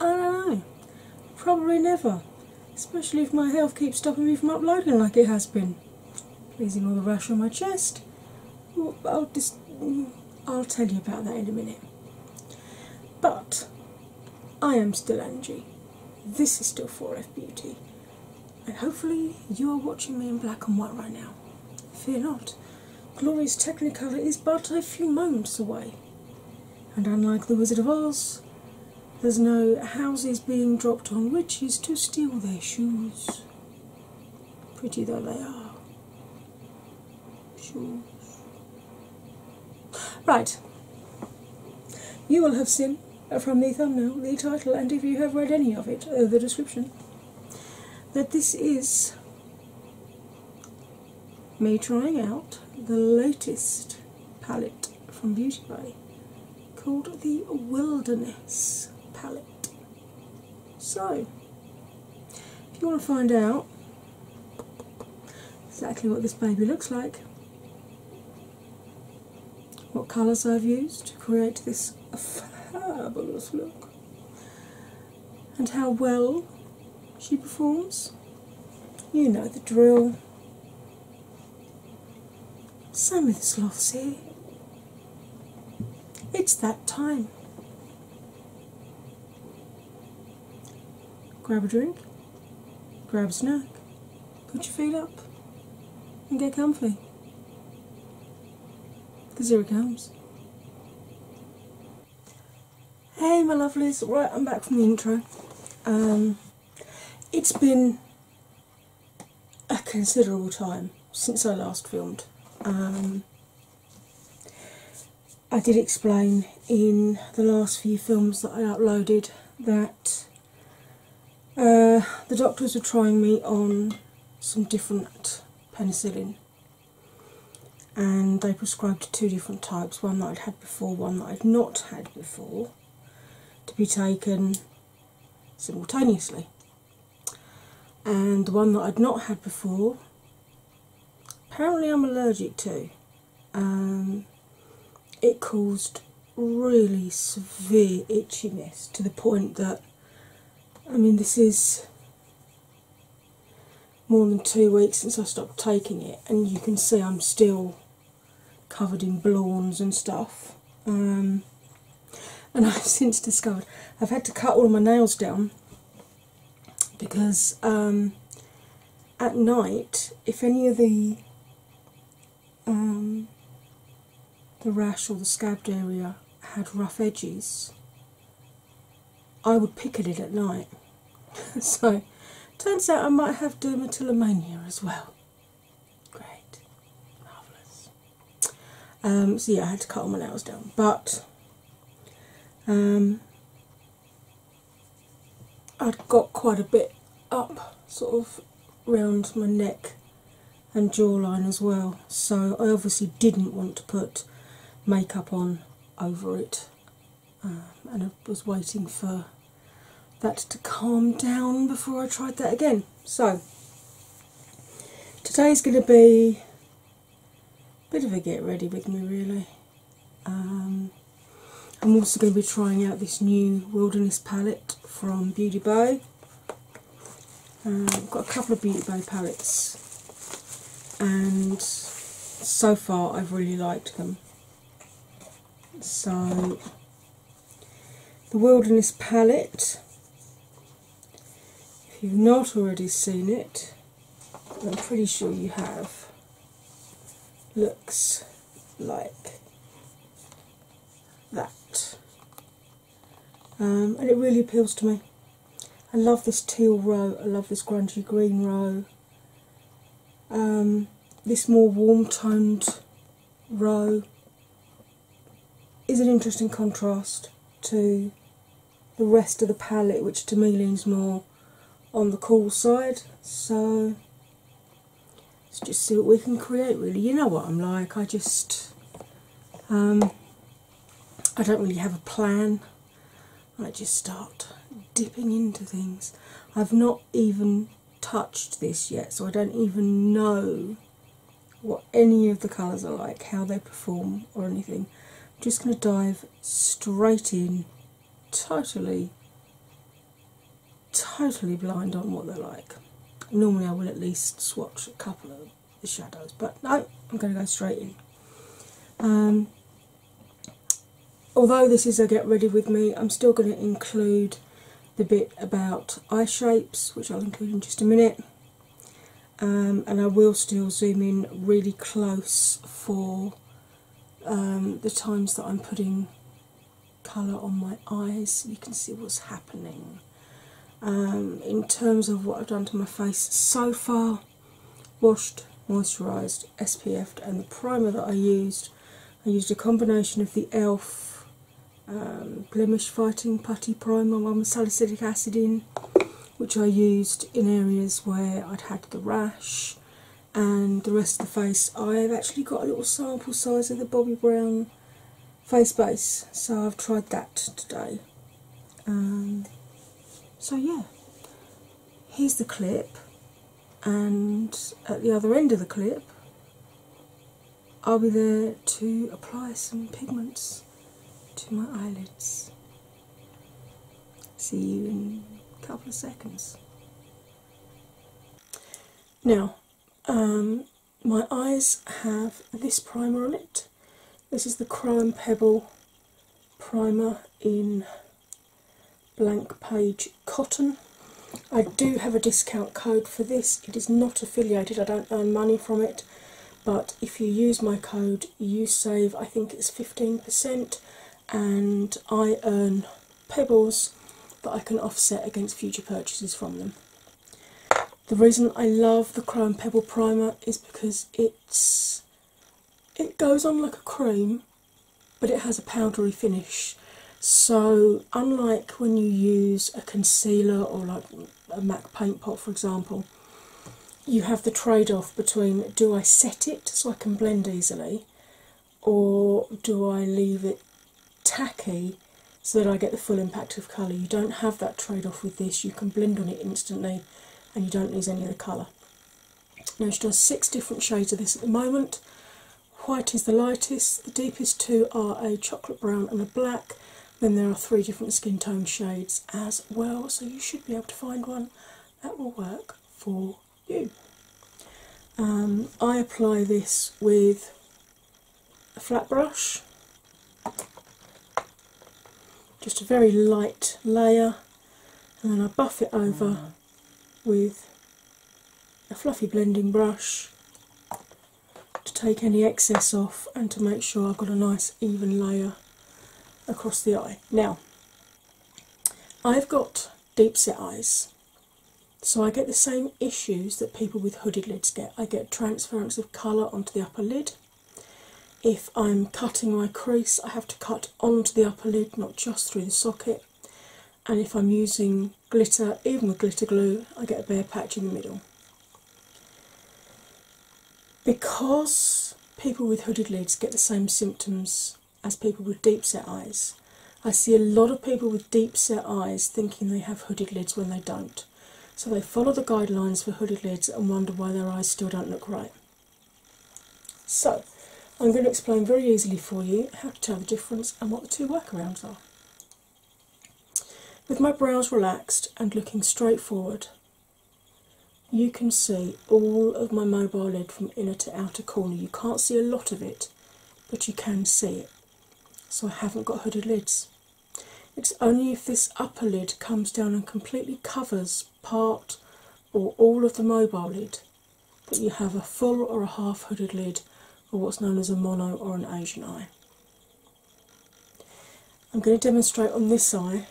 I don't know. Probably never. Especially if my health keeps stopping me from uploading like it has been. Pleasing all the rash on my chest. I'll just mm, I'll tell you about that in a minute. But I am still Angie. This is still 4F Beauty. And hopefully you are watching me in black and white right now. Fear not. Glorious Technicolor is but a few moments away. And unlike the Wizard of Oz, there's no houses being dropped on witches to steal their shoes. Pretty though they are. Shoes. Right. You will have seen from the thumbnail, the title, and if you have read any of it, uh, the description, that this is me trying out the latest palette from BeautyBay, called the Wilderness palette. So, if you want to find out exactly what this baby looks like, what colours I've used to create this fabulous look, and how well she performs. You know the drill. Sam is lost here. It's that time. Grab a drink, grab a snack, put your feet up, and get comfy. Because here it comes. Hey my lovelies, right I'm back from the intro. Um, it's been a considerable time since I last filmed. Um, I did explain in the last few films that I uploaded that uh, the doctors were trying me on some different penicillin and they prescribed two different types one that I'd had before, one that I'd not had before, to be taken simultaneously. And the one that I'd not had before, apparently I'm allergic to. Um, it caused really severe itchiness to the point that, I mean, this is more than two weeks since I stopped taking it, and you can see I'm still covered in blawns and stuff. Um, and I've since discovered I've had to cut all my nails down because um, at night, if any of the um, the rash or the scabbed area had rough edges, I would pick at it at night. so, turns out I might have dermatillomania as well. Great, marvellous. Um, so, yeah, I had to cut all my nails down, but um, I'd got quite a bit up sort of round my neck and jawline as well, so I obviously didn't want to put makeup on over it um, and I was waiting for that to calm down before I tried that again. So today is going to be a bit of a get ready with me, really. Um, I'm also going to be trying out this new Wilderness palette from Beauty Bow. I've um, got a couple of Beauty Bow palettes and so far I've really liked them. So, the Wilderness palette, if you've not already seen it, I'm pretty sure you have, looks like that. Um, and it really appeals to me. I love this teal row, I love this grungy green row, um, this more warm toned row is an interesting contrast to the rest of the palette, which to me leans more on the cool side. So let's just see what we can create, really. You know what I'm like, I just. Um, I don't really have a plan. I just start dipping into things. I've not even touched this yet, so I don't even know what any of the colours are like, how they perform, or anything. I'm just going to dive straight in, totally, totally blind on what they're like. Normally, I will at least swatch a couple of the shadows, but no, I'm going to go straight in. Um, although this is a get ready with me, I'm still going to include the bit about eye shapes, which I'll include in just a minute. Um, and I will still zoom in really close for um, the times that I'm putting colour on my eyes. You can see what's happening. Um, in terms of what I've done to my face so far, washed, moisturised, SPF'd, and the primer that I used. I used a combination of the e.l.f. Um, blemish fighting putty primer one with salicylic acid in, which I used in areas where I'd had the rash and the rest of the face. I've actually got a little sample size of the Bobbi Brown face base, so I've tried that today. so, yeah, here's the clip, and at the other end of the clip, I'll be there to apply some pigments to my eyelids. See you in a couple of seconds. Now, um, my eyes have this primer on it. This is the Crow Pebble primer in Blank Page Cotton. I do have a discount code for this. It is not affiliated, I don't earn money from it, but if you use my code, you save I think it's 15%, and I earn pebbles that I can offset against future purchases from them. The reason I love the Chrome Pebble Primer is because it's it goes on like a cream but it has a powdery finish so unlike when you use a concealer or like a mac paint pot for example you have the trade-off between do i set it so i can blend easily or do i leave it tacky so that i get the full impact of colour you don't have that trade-off with this you can blend on it instantly and you don't lose any of the colour now she does six different shades of this at the moment. White is the lightest, the deepest two are a chocolate brown and a black. Then there are three different skin tone shades as well, so you should be able to find one that will work for you. Um, I apply this with a flat brush, just a very light layer and then I buff it over with a fluffy blending brush to take any excess off and to make sure I've got a nice even layer across the eye. Now, I've got deep set eyes, so I get the same issues that people with hooded lids get. I get transference of colour onto the upper lid if I'm cutting my crease, I have to cut onto the upper lid, not just through the socket. And if I'm using glitter, even with glitter glue, I get a bare patch in the middle. Because people with hooded lids get the same symptoms as people with deep set eyes, I see a lot of people with deep set eyes thinking they have hooded lids when they don't. So they follow the guidelines for hooded lids and wonder why their eyes still don't look right. So, I'm going to explain very easily for you how to tell the difference and what the two workarounds are. With my brows relaxed and looking straight forward, you can see all of my mobile lid from inner to outer corner. You can't see a lot of it, but you can see it. So, I haven't got hooded lids. It's only if this upper lid comes down and completely covers part or all of the mobile lid, but you have a full or a half hooded lid, or what's known as a mono or an Asian eye. I'm going to demonstrate on this eye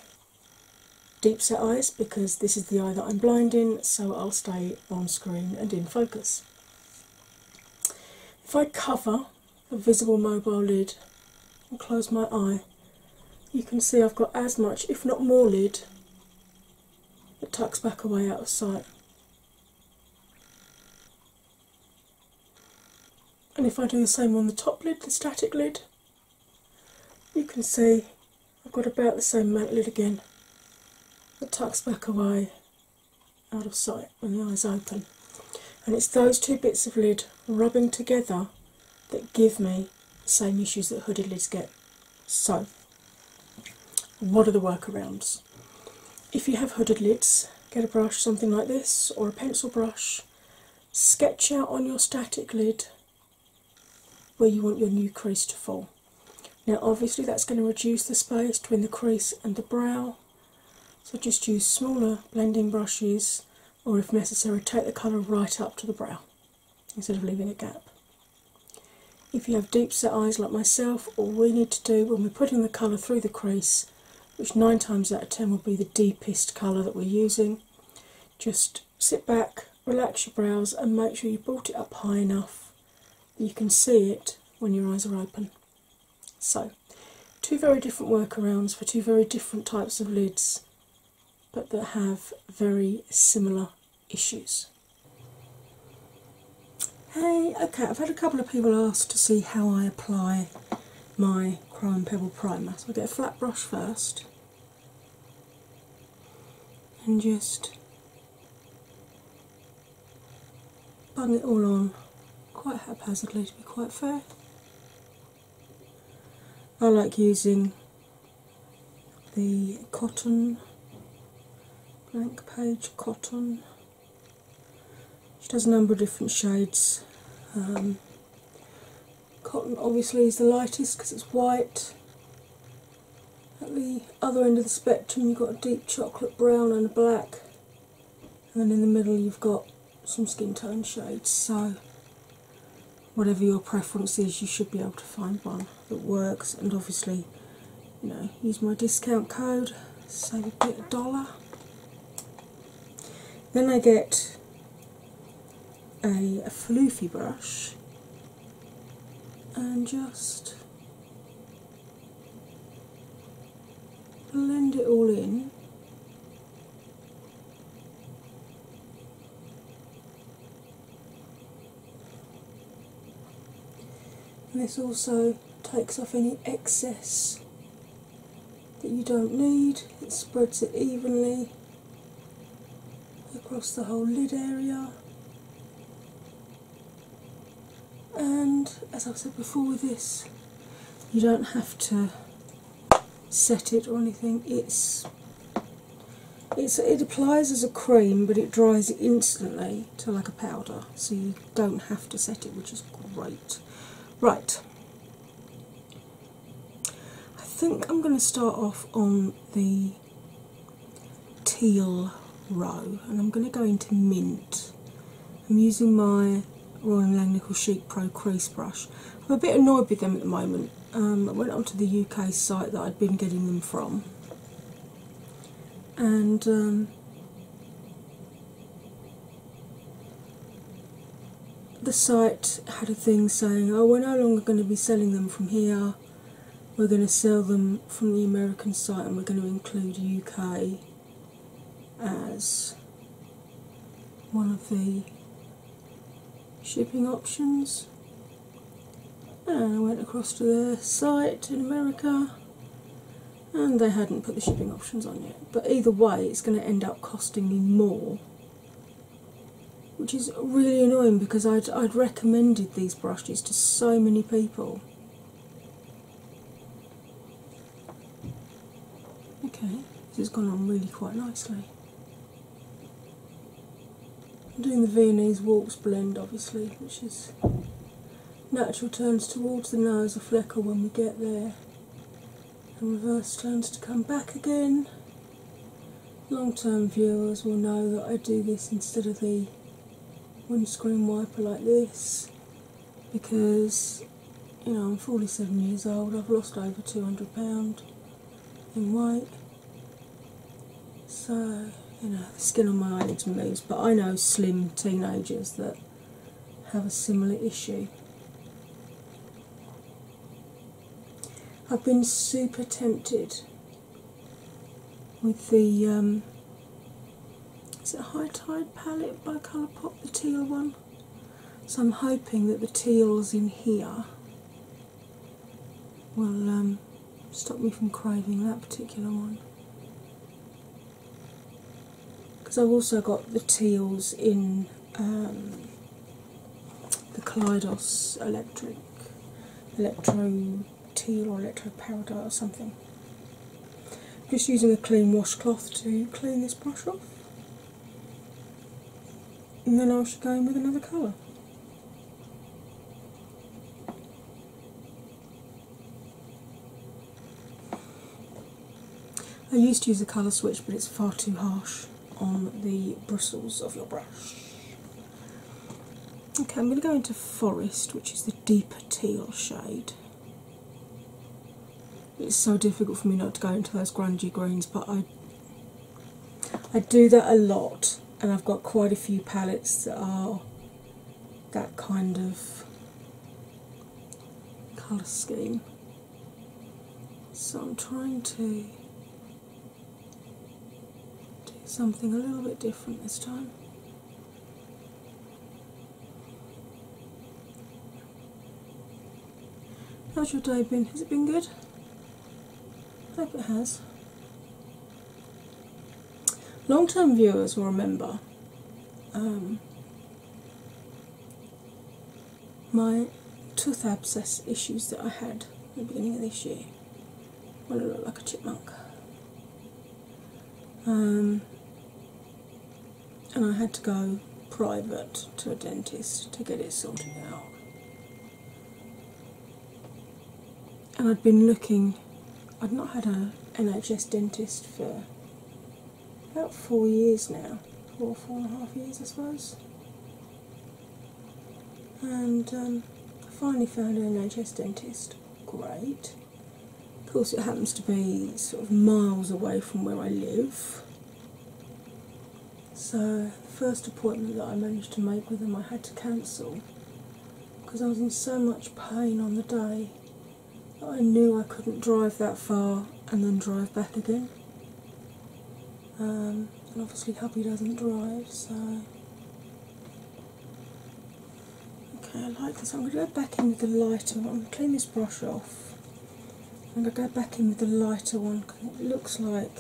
deep set eyes because this is the eye that I'm blind in, so I'll stay on screen and in focus. If I cover the visible mobile lid and close my eye, you can see I've got as much, if not more, lid that tucks back away out of sight. And if I do the same on the top lid, the static lid, you can see I've got about the same amount lid again that tucks back away out of sight when the eyes open. And it's those two bits of lid rubbing together that give me the same issues that hooded lids get. So, what are the workarounds? If you have hooded lids, get a brush, something like this, or a pencil brush, sketch out on your static lid where you want your new crease to fall. Now, obviously, that's going to reduce the space between the crease and the brow, so just use smaller blending brushes, or if necessary, take the colour right up to the brow instead of leaving a gap. If you have deep set eyes like myself, all we need to do when we're putting the colour through the crease, which nine times out of ten will be the deepest colour that we're using, just sit back, relax your brows, and make sure you brought it up high enough that you can see it when your eyes are open. So, two very different workarounds for two very different types of lids but that have very similar issues. Hey, okay, I've had a couple of people ask to see how I apply my Crime Pebble Primer. So I get a flat brush first and just bang it all on quite haphazardly to be quite fair. I like using the cotton, blank page cotton, which has a number of different shades. Um, cotton obviously is the lightest because it's white. At the other end of the spectrum, you've got a deep chocolate brown and a black, and in the middle, you've got some skin tone shades. So whatever your preference is, you should be able to find one that works. And obviously, you know, use my discount code, save a bit of dollar. Then I get a, a floofy brush and just blend it all in this also takes off any excess that you don't need, it spreads it evenly across the whole lid area. And as I've said before with this, you don't have to set it or anything, it's it's, it applies as a cream, but it dries instantly to like a powder, so you don't have to set it, which is great. Right, I think I'm going to start off on the teal row, and I'm going to go into mint. I'm using my Royal Langnickel Chic Pro crease brush. I'm a bit annoyed with them at the moment um, I went onto the UK site that I'd been getting them from, and um, the site had a thing saying, "Oh, we're no longer going to be selling them from here. We're going to sell them from the American site, and we're going to include UK as one of the shipping options. And I went across to their site in America, and they hadn't put the shipping options on yet. But either way, it's going to end up costing me more, which is really annoying because I'd, recommended these brushes to so many people. Okay, this has gone on really quite nicely. I'm doing the Viennese walks blend, obviously, which is natural turns towards the nose of flecker when we get there, and reverse turns to come back again. Long term viewers will know that I do this instead of the windscreen wiper like this because you know I'm 47 years old, I've lost over 200 pounds in weight so, you know, the skin on my eyelids moves, but I know slim teenagers that have a similar issue. I've been super tempted with the um, is it High Tide palette by Colourpop, the teal one? So I'm hoping that the teals in here will um, stop me from craving that particular one. Because I've also got the teals in um, the Kaleidos Electric, Electro Teal or Electro Paradise or something. Just using a clean washcloth to clean this brush off and then i should go in with another colour. I used to use a colour switch, but it's far too harsh on the bristles of your brush. Okay, I'm going to go into Forest, which is the deeper teal shade. It's so difficult for me not to go into those grungy greens, but I I do that a lot, and I've got quite a few palettes that are that kind of colour scheme. So I'm trying to do something a little bit different this time. How's your day been? Has it been good? I think it has. Long term viewers will remember um, my tooth abscess issues that I had at the beginning of this year when I looked like a chipmunk. Um, and I had to go private to a dentist to get it sorted out and I'd been looking, I'd not had a NHS dentist for about four years now, or four and a half years, I suppose. And um, I finally found an NHS dentist. Great. Of course, it happens to be sort of miles away from where I live. So, the first appointment that I managed to make with him, I had to cancel because I was in so much pain on the day that I knew I couldn't drive that far and then drive back again. Um, and obviously, hubby doesn't drive, so. Okay, I like this. I'm going to go back in with the lighter I'm going to clean this brush off. I'm going to go back in with the lighter one because it looks like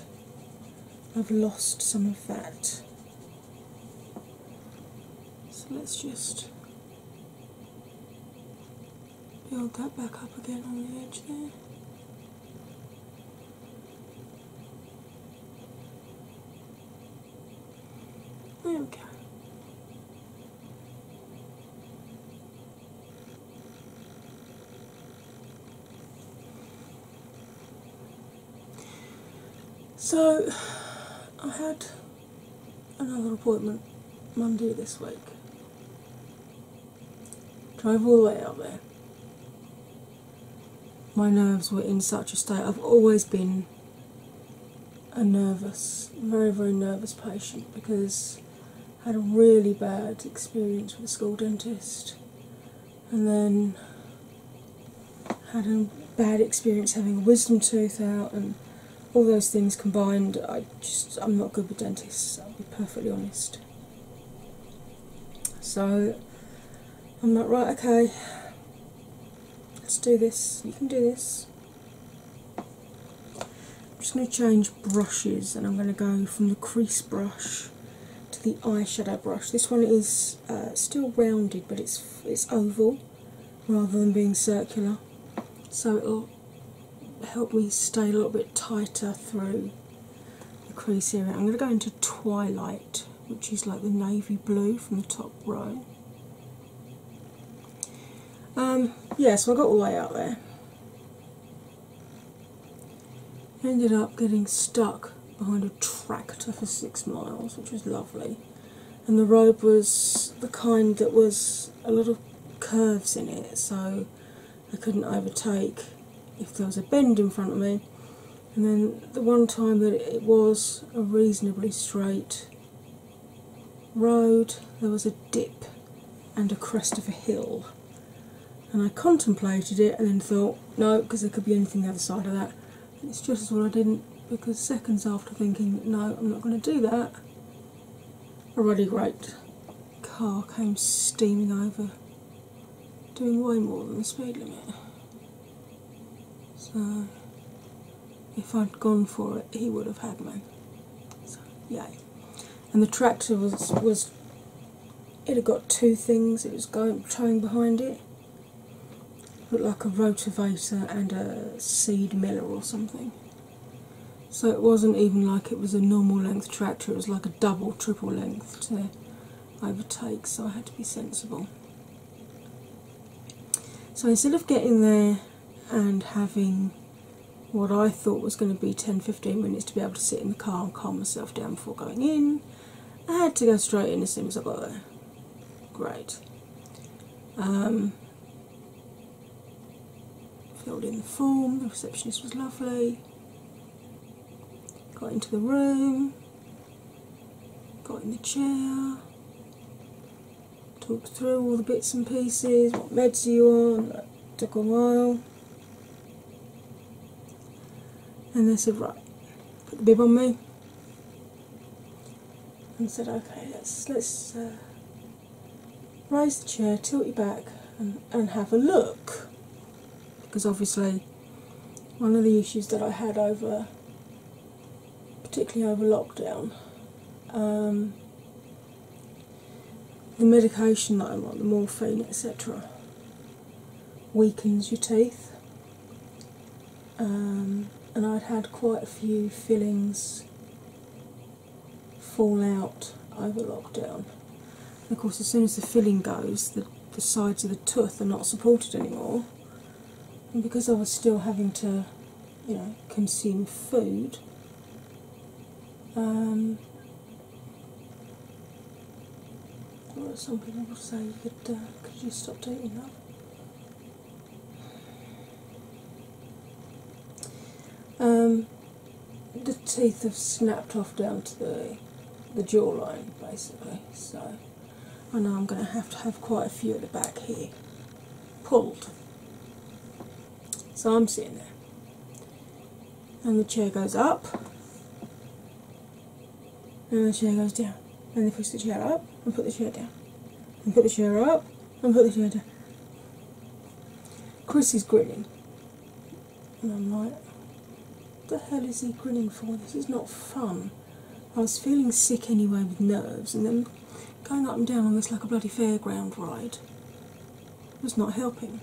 I've lost some of that. So let's just build that back up again on the edge there. There so, I had another appointment Monday this week. Drove all the way out there. My nerves were in such a state. I've always been a nervous, very, very nervous patient because I had a really bad experience with a school dentist and then had a bad experience having a wisdom tooth out and all those things combined i just i'm not good with dentists i'll be perfectly honest so i'm like right okay let's do this you can do this i'm just going to change brushes and i'm going to go from the crease brush to the eyeshadow brush. This one is uh, still rounded, but it's it's oval rather than being circular, so it'll help me stay a little bit tighter through the crease area. I'm going to go into Twilight, which is like the navy blue from the top row. Um, yeah, so I got all the way out there. Ended up getting stuck behind a tractor for six miles, which was lovely. And the road was the kind that was a lot of curves in it, so I couldn't overtake if there was a bend in front of me. And then the one time that it was a reasonably straight road, there was a dip and a crest of a hill and I contemplated it and then thought, no, because there could be anything the other side of that. it's just as well I didn't, because seconds after thinking, no, I'm not going to do that, a really great car came steaming over, doing way more than the speed limit. So, if I'd gone for it, he would have had me. Yeah, And the tractor was was it had got two things it was going towing behind it. looked like a rotavator and a seed miller or something so it wasn't even like it was a normal length tractor it was like a double triple length to overtake so i had to be sensible so instead of getting there and having what I thought was going to be 10 15 minutes to be able to sit in the car and calm myself down before going in, I had to go straight in as soon as I got there. Great. Um, filled in the form, the receptionist was lovely. Got into the room, got in the chair, talked through all the bits and pieces, what meds are you on, took a while. And they said, right, put the bib on me. And said, okay, let's let's uh, raise the chair, tilt you back, and, and have a look. Because obviously, one of the issues that I had over, particularly over lockdown, um, the medication that I'm on, the morphine, etc weakens your teeth. Um, and I'd had quite a few fillings fall out over lockdown. of course, as soon as the filling goes, the, sides of the tooth are not supported anymore. And because I was still having to, you know, consume food, um, some people will say you could, could you stop eating now? Um, the teeth have snapped off down to the the jawline basically, so I know I'm going to have to have quite a few at the back here pulled. So I'm sitting there and the chair goes up and the chair goes down and they push the chair up and put the chair down and put the chair up and put the chair down. Chris is grinning and I'm like the hell is he grinning for? This is not fun. I was feeling sick anyway with nerves and then going up and down almost like a bloody fairground ride was not helping.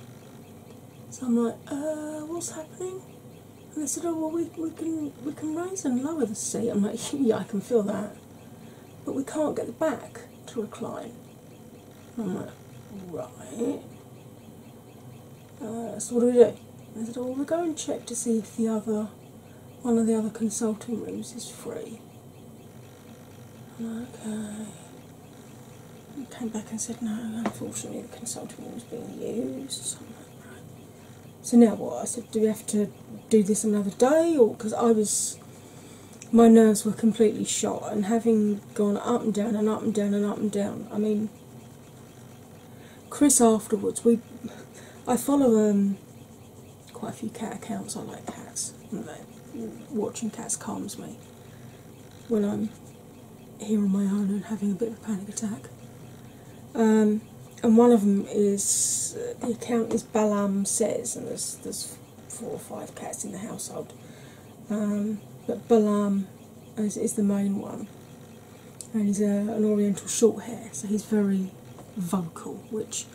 So I'm like, uh, what's happening? And they said, oh well, we can we can raise and lower the seat. I'm like, yeah, I can feel that, but we can't get the back to recline. I'm like, right. Uh, so what do we do? And they said, oh, we'll go and check to see if the other one of the other consulting rooms is free. okay. He came back and said, No, unfortunately, the consulting room is being used. So, now what? I said, Do we have to do this another day? Or because I was, my nerves were completely shot, and having gone up and down and up and down and up and down, I mean, Chris afterwards, we, I follow um, quite a few cat accounts. I like cats, and watching cats calms me when I'm um, here on my own and having a bit of a panic attack. Um, and one of them is uh, the account is Balam says, and there's four or five cats in the household, um, but Balam is, the main one, and he's uh, an Oriental short hair, so he's very vocal. Which,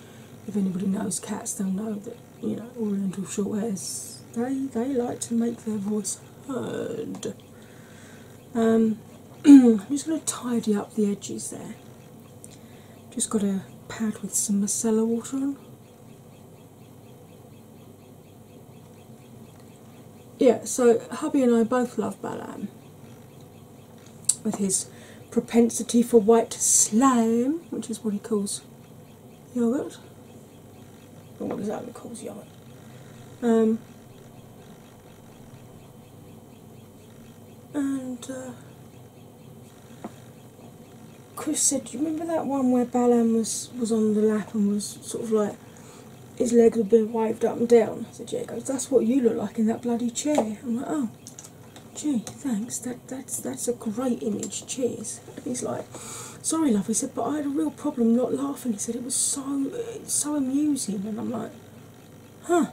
if anybody knows cats, they'll know that you know Oriental short hairs they they like to make their voice heard. Um, I'm just going to tidy up the edges there. Just got a pad with some macella water on. Yeah, so hubby and I both love Balam with his propensity for white slime, which is what he calls yogurt what does that look cool yarn? Um, and uh, Chris said, "Do you remember that one where Balan was was on the lap and was sort of like his legs were been waved up and down?" I said, "That's what you look like in that bloody chair." I'm like, "Oh, gee, thanks. That that's that's a great image. Cheers." And he's like sorry love he said but i had a real problem not laughing he said it was so so amusing and i'm like huh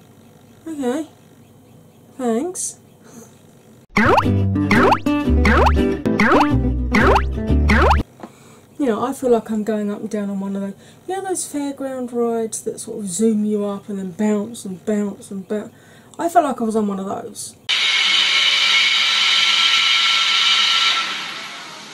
okay thanks you know, I feel like I'm going up and down on one of those, you know, those fairground rides that sort of zoom you up and then bounce and bounce and bounce. I felt like I was on one of those.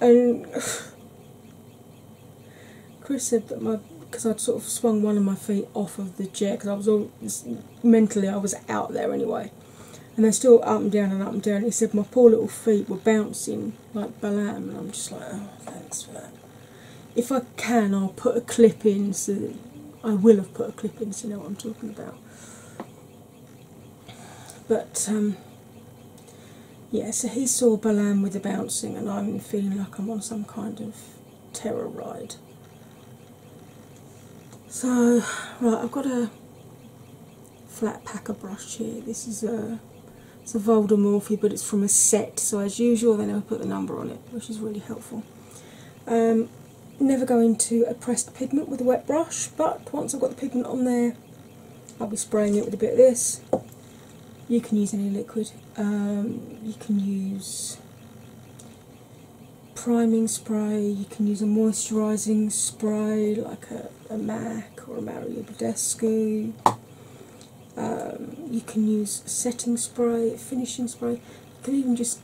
and Chris said that my because I'd sort of swung one of my feet off of the chair because I was all mentally I was out there anyway, and they're still up and down and up and down. he said my poor little feet were bouncing like balam, and I'm just like, oh, thanks for that. If I can, I'll put a clip in. So I will have put a clip in, so you know what I'm talking about. But um, yeah, so he saw Balam with the bouncing, and I'm feeling like I'm on some kind of terror ride. So, right, I've got a flat packer brush here. This is a it's a Voldemorphy, but it's from a set. So as usual, they never put the number on it, which is really helpful. Um, never go into a pressed pigment with a wet brush, but once I've got the pigment on there, I'll be spraying it with a bit of this. You can use any liquid. Um, you can use priming spray, you can use a moisturising spray like a, MAC or a Mario Badescu. Um, you can use setting spray, finishing spray. You can even just,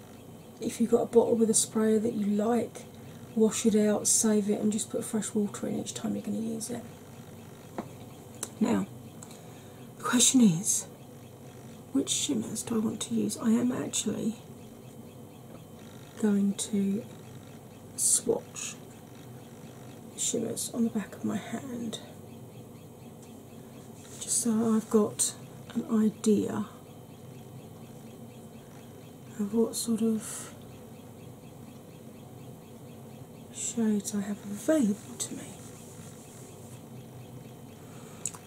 if you've got a bottle with a sprayer that you like, wash it out, save it, and just put fresh water in each time you're going to use it. Now, the question is which shimmers do I want to use? I am actually going to swatch shimmers on the back of my hand just so I've got an idea of what sort of shades I have available to me.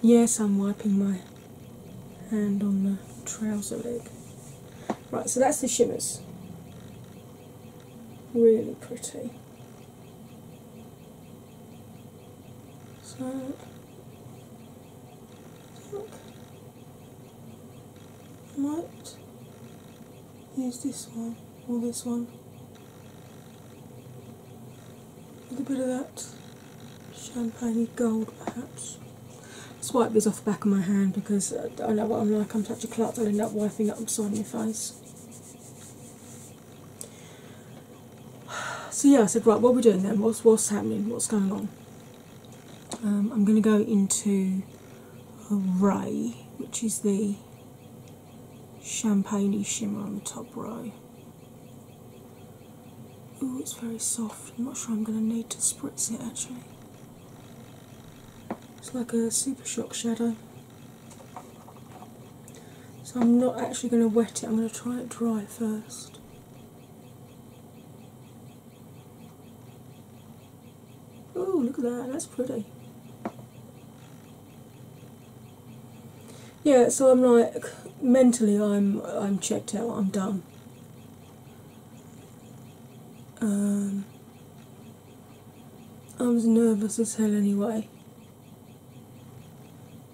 Yes, I'm wiping my hand on the trouser leg. Right, so that's the shimmers. Really pretty. So might use this one or this one with a bit of that champagne gold perhaps. Let's wipe this off the back of my hand because I know what I'm like, I'm such a klutz, I'll end up wiping it up the side of my face. So yeah, I said, right, what are we doing then? What's what's happening? What's going on? Um, I'm going to go into a ray, which is the champagne shimmer on the top row. Oh, it's very soft. I'm not sure I'm going to need to spritz it actually. It's like a super shock shadow. So I'm not actually going to wet it, I'm going to try it dry first. Oh, look at that, that's pretty. Yeah, so I'm like mentally I'm I'm checked out, I'm done. Um I was nervous as hell anyway.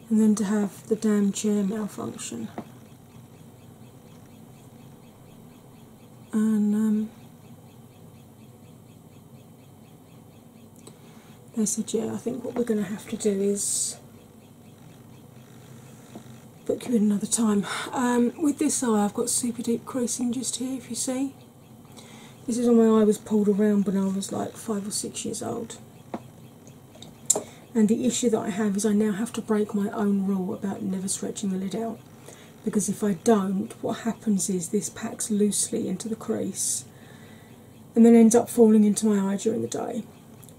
And then to have the damn chair malfunction and um, they said, Yeah, I think what we're going to have to do is book you in another time. Um, with this eye, I've got super deep creasing just here, if you see. This is when my eye was pulled around when I was like five or six years old. And the issue that I have is I now have to break my own rule about never stretching the lid out because if I don't, what happens is this packs loosely into the crease and then ends up falling into my eye during the day.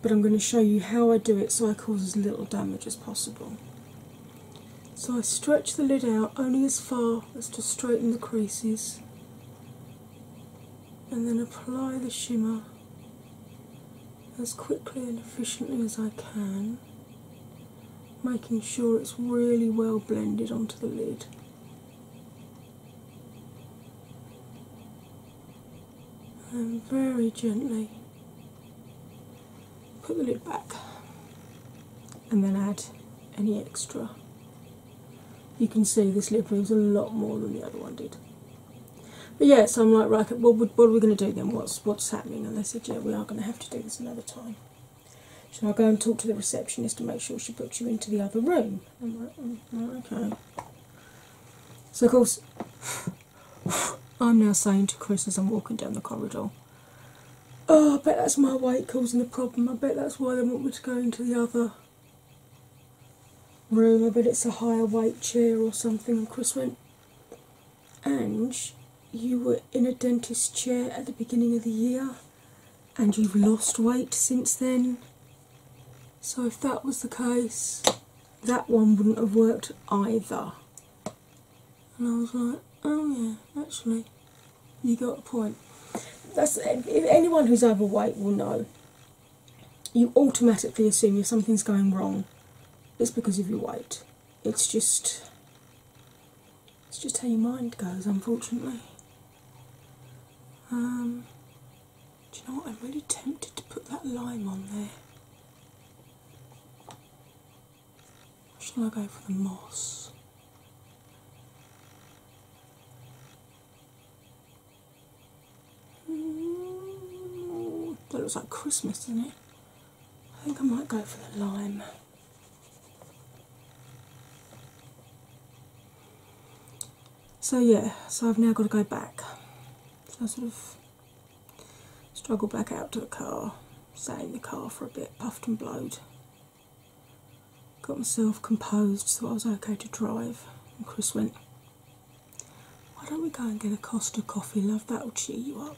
But I'm going to show you how I do it so I cause as little damage as possible. So I stretch the lid out only as far as to straighten the creases and then apply the shimmer as quickly and efficiently as I can, making sure it's really well blended onto the lid. And very gently put the lid back and then add any extra. You can see this lid moves a lot more than the other one did. But yeah, so I'm like, right, what, are we going to do then? What's what's happening? And they said, yeah, we are going to have to do this another time. Shall I go and talk to the receptionist to make sure she puts you into the other room? Mm, mm, okay. So of course, I'm now saying to Chris as I'm walking down the corridor, oh, I bet that's my weight causing the problem. I bet that's why they want me to go into the other room. I bet it's a higher weight chair or something. Chris went, and you were in a dentist chair at the beginning of the year and you've lost weight since then. So, if that was the case, that one wouldn't have worked either. And I was like, oh, yeah, actually, you got a point. That's anyone who's overweight will know. You automatically assume if something's going wrong, it's because of your weight it's just it's just how your mind goes, unfortunately. Um, do you know what? I'm really tempted to put that lime on there. Shall I go for the moss? Mm, that looks like Christmas, doesn't it? I think I might go for the lime. So, yeah, so I've now got to go back. So, I sort of struggled back out to the car, sat in the car for a bit, puffed and blowed. Got myself composed, so I was okay to drive. And Chris went, why don't we go and get a Costa coffee, love? That'll cheer you up.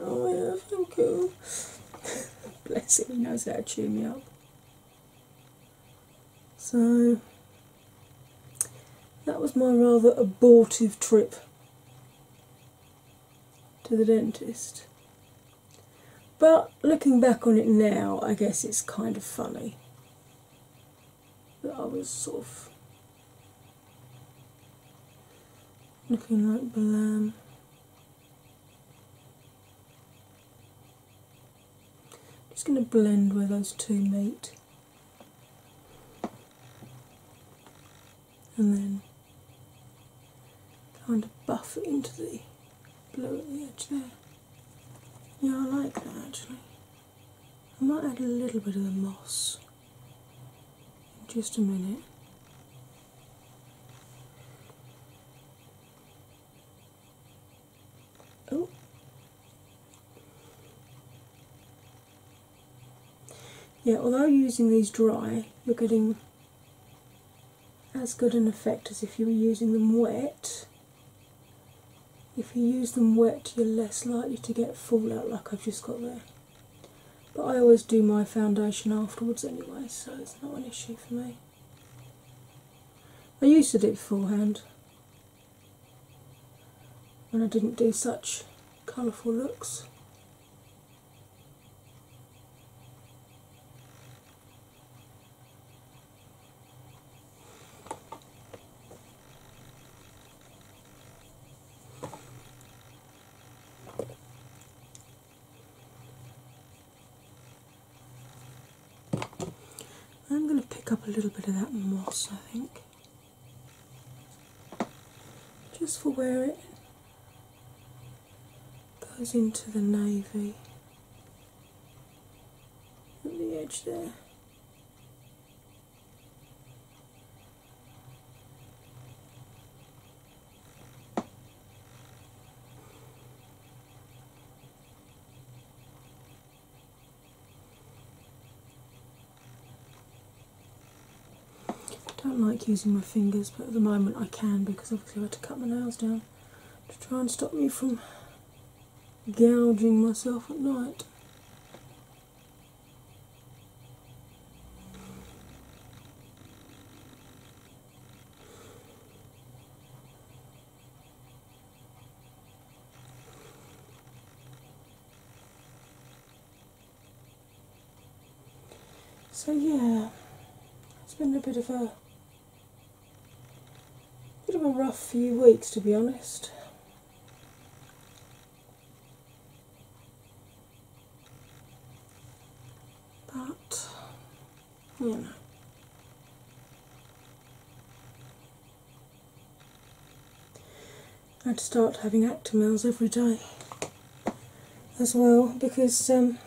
oh yeah, thank you. Bless him, he knows how to cheer me up. So that was my rather abortive trip to the dentist. But looking back on it now, I guess it's kind of funny that I was sort of looking like Balam. Just going to blend where those two meet. And then kind of buff it into the blue at the edge there. Yeah, I like that actually. I might add a little bit of the moss just a minute. Oh, yeah, although using these dry, you're getting as good an effect as if you were using them wet. If you use them wet, you're less likely to get fallout like i just got there. But I always do my foundation afterwards anyway, so it's not an issue for me. I used to do it beforehand when I didn't do such colourful looks. I'm going to pick up a little bit of that moss, I think, just for where it goes into the navy at the edge there. I don't like using my fingers, but at the moment I can because obviously I had to cut my nails down to try and stop me from gouging myself at night. So yeah, it's been a bit of a bit of a rough few weeks to be honest. But, you know. I'd start having Actimels every day as well because um,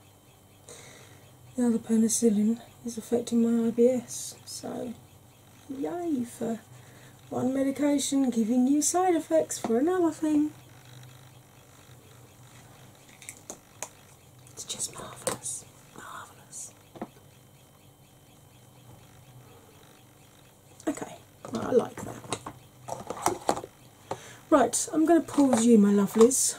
the other penicillin is affecting my IBS, so Yay for one medication giving you side effects for another thing. It's just marvellous, marvellous. Okay, I like that. Right, I'm going to pause you, my lovelies,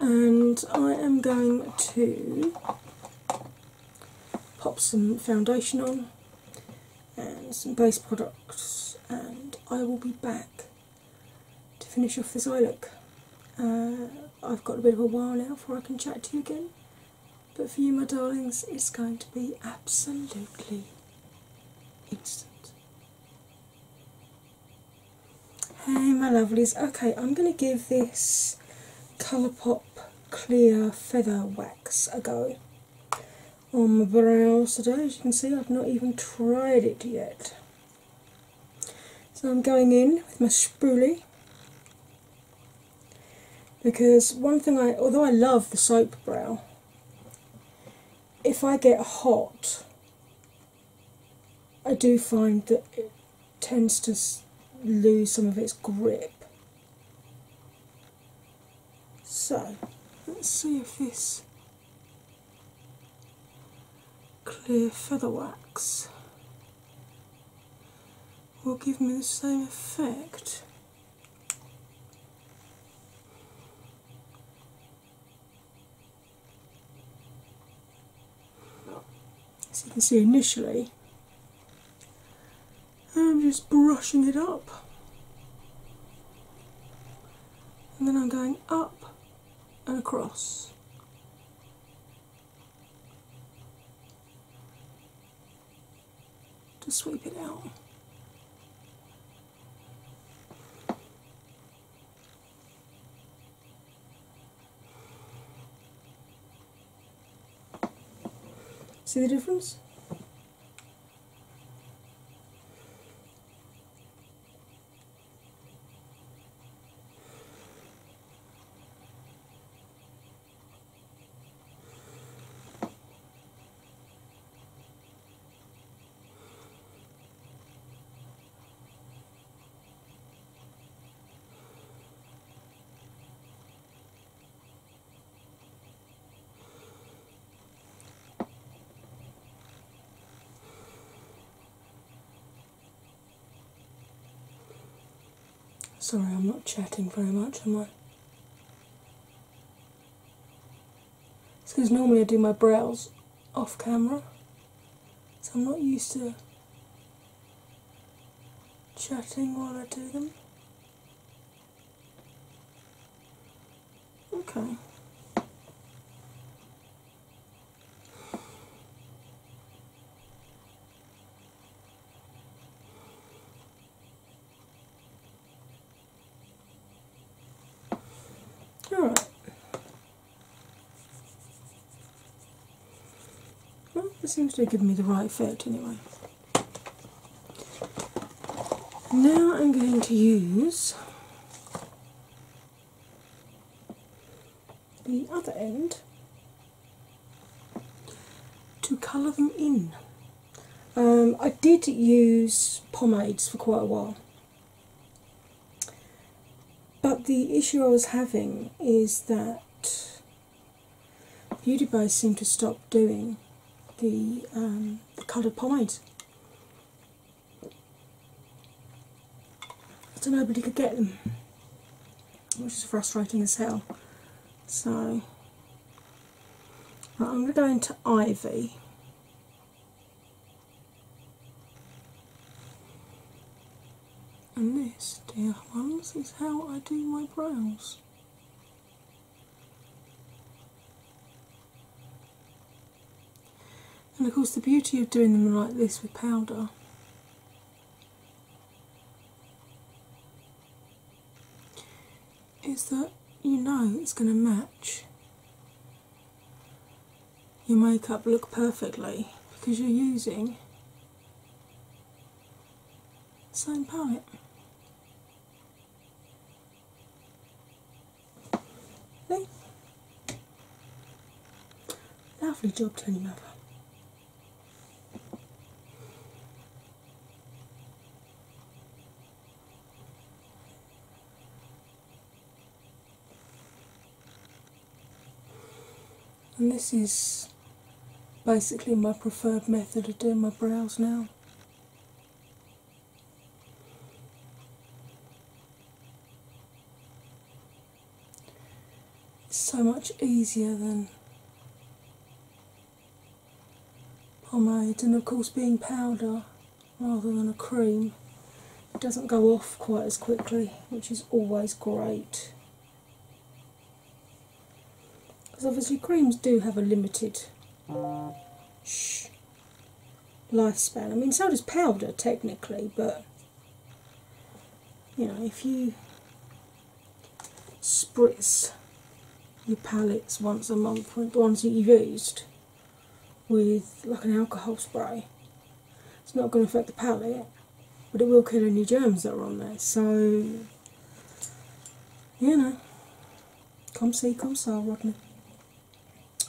and I am going to pop some foundation on and some base products, and I will be back to finish off this eye look. Uh, I've got a bit of a while now before I can chat to you again, but for you, my darlings, it's going to be absolutely instant. Hey, my lovelies. Okay, I'm going to give this Colourpop clear feather wax a go on my brows today. As you can see, I've not even tried it yet. So I'm going in with my spoolie because one thing I, although I love the soap brow, if I get hot, I do find that tends to lose some of its grip. So let's see if this clear feather wax will give me the same effect. As you can see initially, I'm just brushing it up. And then I'm going up and across. To sweep it out. See the difference? Sorry, I'm not chatting very much, am I? It's because normally I do my brows off camera, so I'm not used to chatting while I do them. Okay. Alright. Well, it seems to have given me the right fit anyway. Now I'm going to use the other end to colour them in. Um, I did use pomades for quite a while, but the issue I was having is that Beauty boys seem to stop doing the, coloured pomade, So nobody could get them, which is frustrating as hell. So I'm going to go into Ivy. And this, dear ones, is how I do my brows. And of course, the beauty of doing them like this with powder is that you know it's going to match your makeup look perfectly because you're using same part. Lovely job Tony, Mother and this is basically my preferred method of doing my brows now. so much easier than pomade, and of course, being powder rather than a cream, it doesn't go off quite as quickly, which is always great. Because obviously creams do have a limited lifespan. I mean, so does powder technically, but you know, if you spritz your palettes once a month, the ones that you've used, with like an alcohol spray, it's not going to affect the palette but it will kill any germs that are on there. So, you know, come see, come see, Rodney.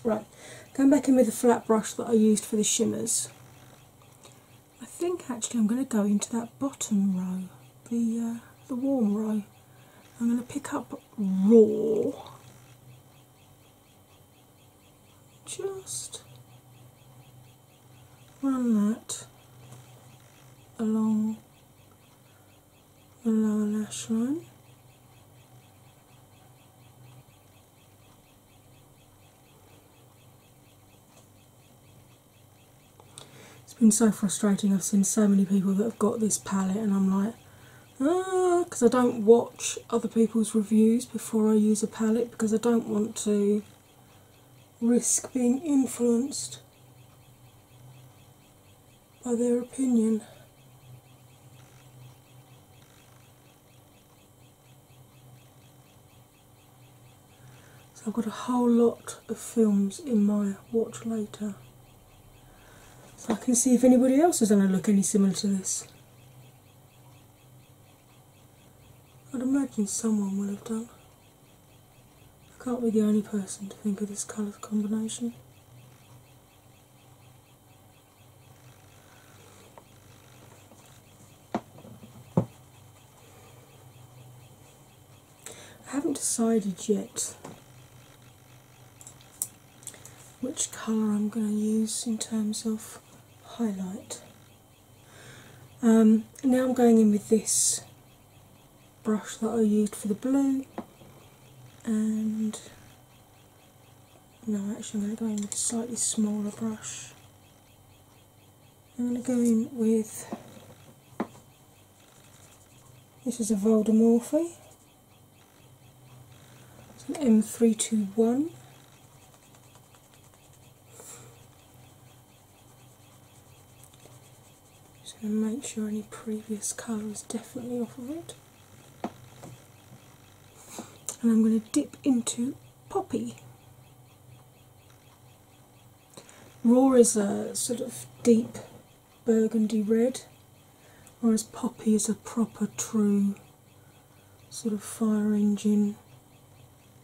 Right, going back in with the flat brush that I used for the shimmers. I think actually I'm going to go into that bottom row, the uh, the warm row. I'm going to pick up raw. Just run that along the lower lash line. It's been so frustrating. I've seen so many people that have got this palette, and I'm like, ah, because I don't watch other people's reviews before I use a palette because I don't want to risk being influenced by their opinion. So I've got a whole lot of films in my watch later. So I can see if anybody else has done a look any similar to this. I'd imagine someone will have done. I can't be the only person to think of this colour combination. I haven't decided yet which colour I'm going to use in terms of highlight. Um, now I'm going in with this brush that I used for the blue, and no, actually, I'm going to go in with a slightly smaller brush. I'm going to go in with this is a Voldemorphy, it's an M321. Just going to make sure any previous colour is definitely off of it. And I'm going to dip into Poppy. Raw is a sort of deep burgundy red, whereas Poppy is a proper, true sort of fire engine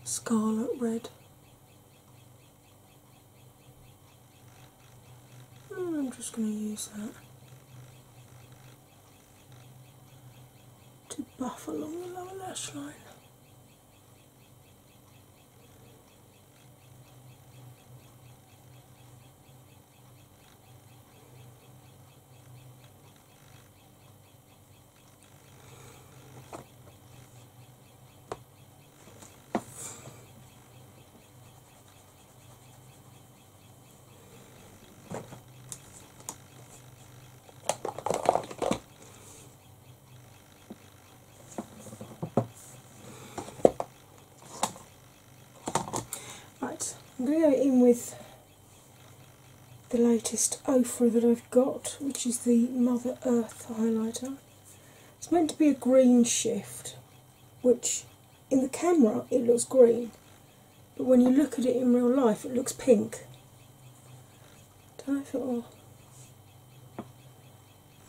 scarlet red. Hmm, I'm just going to use that to buff along the lower lash line. Right, I'm going to go in with the latest Ofra that I've got, which is the Mother Earth highlighter. It's meant to be a green shift, which in the camera it looks green, but when you look at it in real life it looks pink. Don't know if it'll.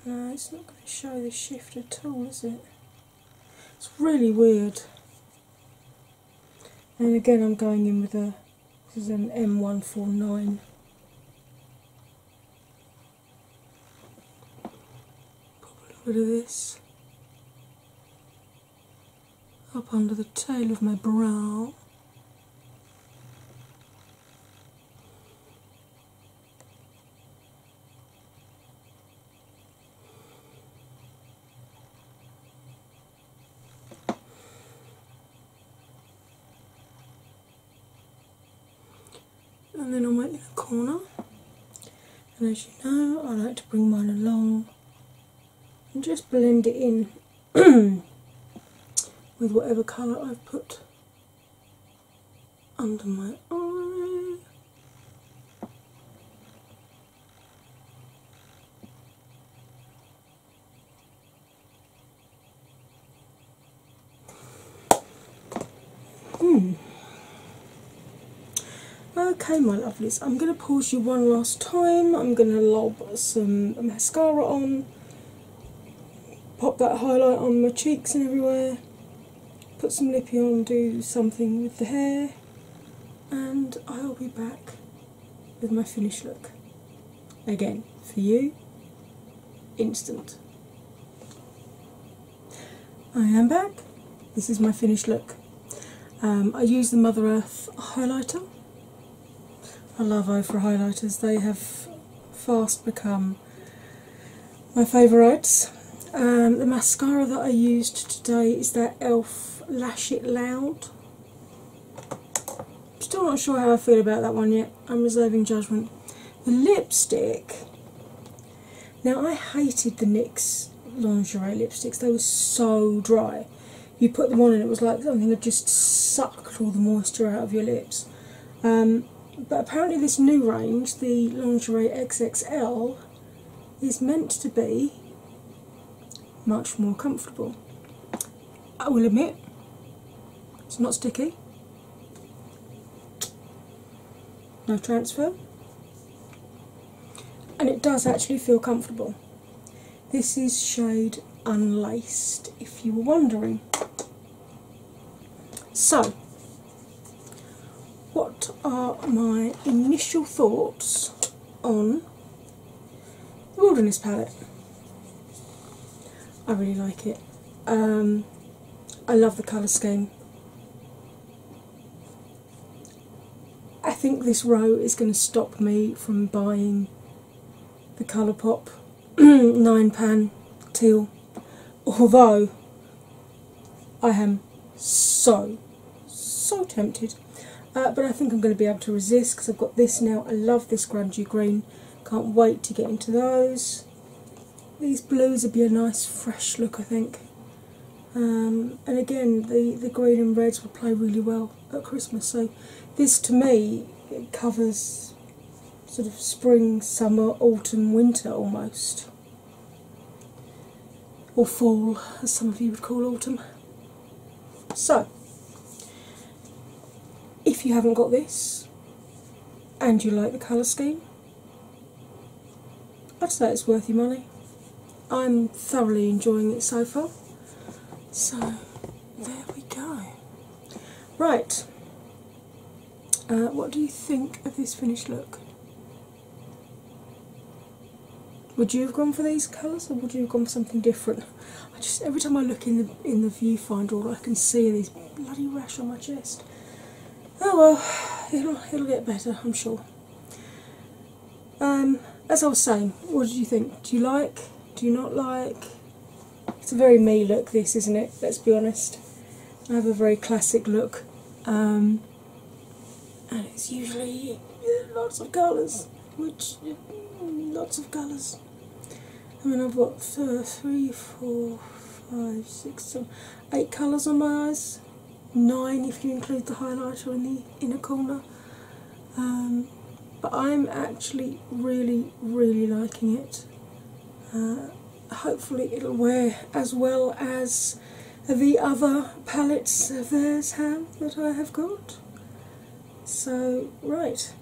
No, it's not going to show the shift at all, is it? It's really weird. And again, I'm going in with a. This is an M149. Pop a little bit of this up under the tail of my brow and then I'll on my inner corner. And as you know, I like to bring mine along and just blend it in with whatever colour I've put under my eye. Mm. Okay, my lovelies, I'm going to pause you one last time. I'm going to lob some mascara on, pop that highlight on my cheeks and everywhere, put some lippy on, do something with the hair, and I'll be back with my finished look again for you instant. I am back. This is my finished look. Um, I use the Mother Earth highlighter. I love Ofra highlighters. They have fast become my favourites. Um, the mascara that I used today is that e.l.f. Lash It Loud still not sure how I feel about that one yet. I'm reserving judgment. The lipstick. Now I hated the NYX lingerie lipsticks. They were so dry. You put them on and it was like something had just sucked all the moisture out of your lips. Um, but apparently this new range, the lingerie XXL, is meant to be much more comfortable. I will admit, it's not sticky. No transfer, and it does actually feel comfortable. This is shade Unlaced, if you were wondering. So, what are my initial thoughts on the Wilderness palette? I really like it. Um, I love the colour scheme. I think this row is going to stop me from buying the Colourpop 9 pan teal, although I am so, so tempted. Uh, but I think I'm going to be able to resist because I've got this now. I love this Grandview green. Can't wait to get into those. These blues would be a nice fresh look, I think. Um, and again, the, the green and reds would play really well at Christmas. So, this to me covers sort of spring, summer, autumn, winter almost. Or fall, as some of you would call autumn. So, if you haven't got this and you like the colour scheme, I'd say it's worth your money. I'm thoroughly enjoying it so far. So there we go. Right, uh, what do you think of this finished look? Would you have gone for these colours or would you have gone for something different? I just every time I look in the in the viewfinder, I can see this bloody rash on my chest. Oh well, it'll it'll get better, I'm sure. Um, as I was saying, what did you think? Do you like? Do you not like? It's a very me look, this isn't it? Let's be honest. I have a very classic look, um, and it's usually lots of colours, lots of colours. I mean, I've got uh, three, four, five, six, seven, eight colours on my eyes. Nine if you include the highlighter in the inner corner. Um, but I'm actually really, really liking it. Uh, hopefully, it'll wear as well as the other palettes of theirs have that I have got. So, right,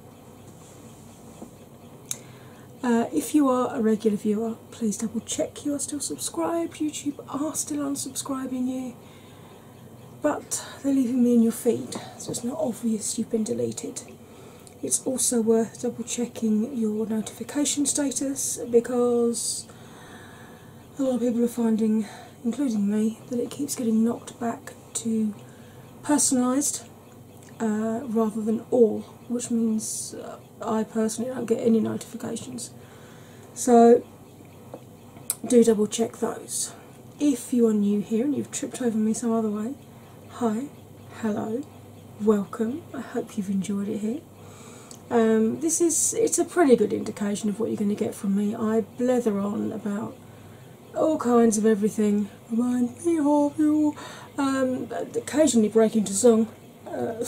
uh, if you are a regular viewer, please double check you are still subscribed. YouTube are still unsubscribing you, but they're leaving me in your feed, so it's not obvious you've been deleted. It's also worth double checking your notification status because a lot of people are finding, including me, that it keeps getting knocked back to personalised uh, rather than all, which means uh, I personally don't get any notifications. So do double check those. If you are new here and you've tripped over me some other way, hi, hello, welcome. I hope you've enjoyed it here. Um, this is it's a pretty good indication of what you're going to get from me. I blather on about all kinds of everything. Remind me of you. Um, occasionally break into song. Uh,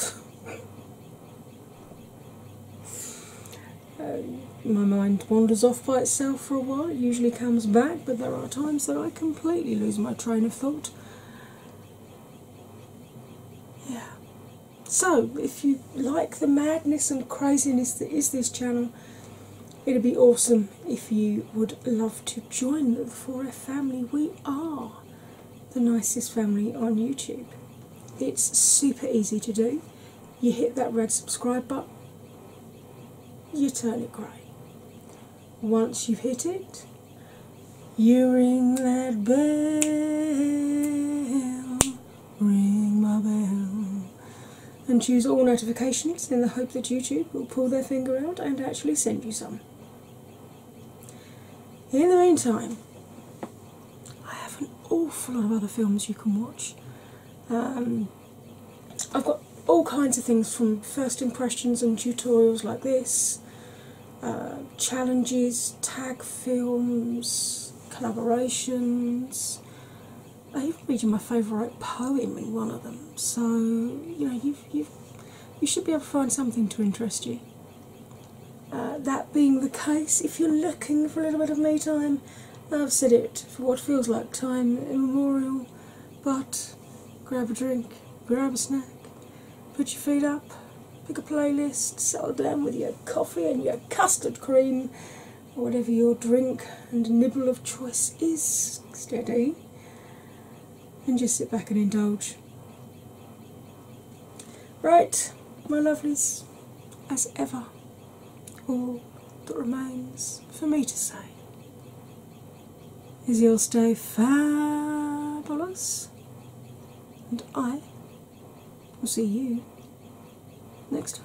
my mind wanders off by itself for a while. It usually comes back, but there are times that I completely lose my train of thought. Yeah. So, if you like the madness and craziness that is this channel, it'd be awesome if you would love to join the 4 family, we are the nicest family on YouTube. It's super easy to do. You hit that red subscribe button, you turn it grey. Once you've hit it, you ring that bell, ring my bell and choose all notifications in the hope that YouTube will pull their finger out and actually send you some. In the meantime, I have an awful lot of other films you can watch. Um, I've got all kinds of things from first impressions and tutorials like this, uh, challenges, tag films, collaborations. Read you my favourite poem in one of them. So you know you you should be able to find something to interest you. Uh, that being the case, if you're looking for a little bit of me time, I've said it for what feels like time immemorial. But grab a drink, grab a snack, put your feet up, pick a playlist, settle down with your coffee and your custard cream, whatever your drink and nibble of choice is. Steady and just sit back and indulge. Right, my lovelies, as ever, all that remains for me to say is you'll stay fabulous, and I will see you next time.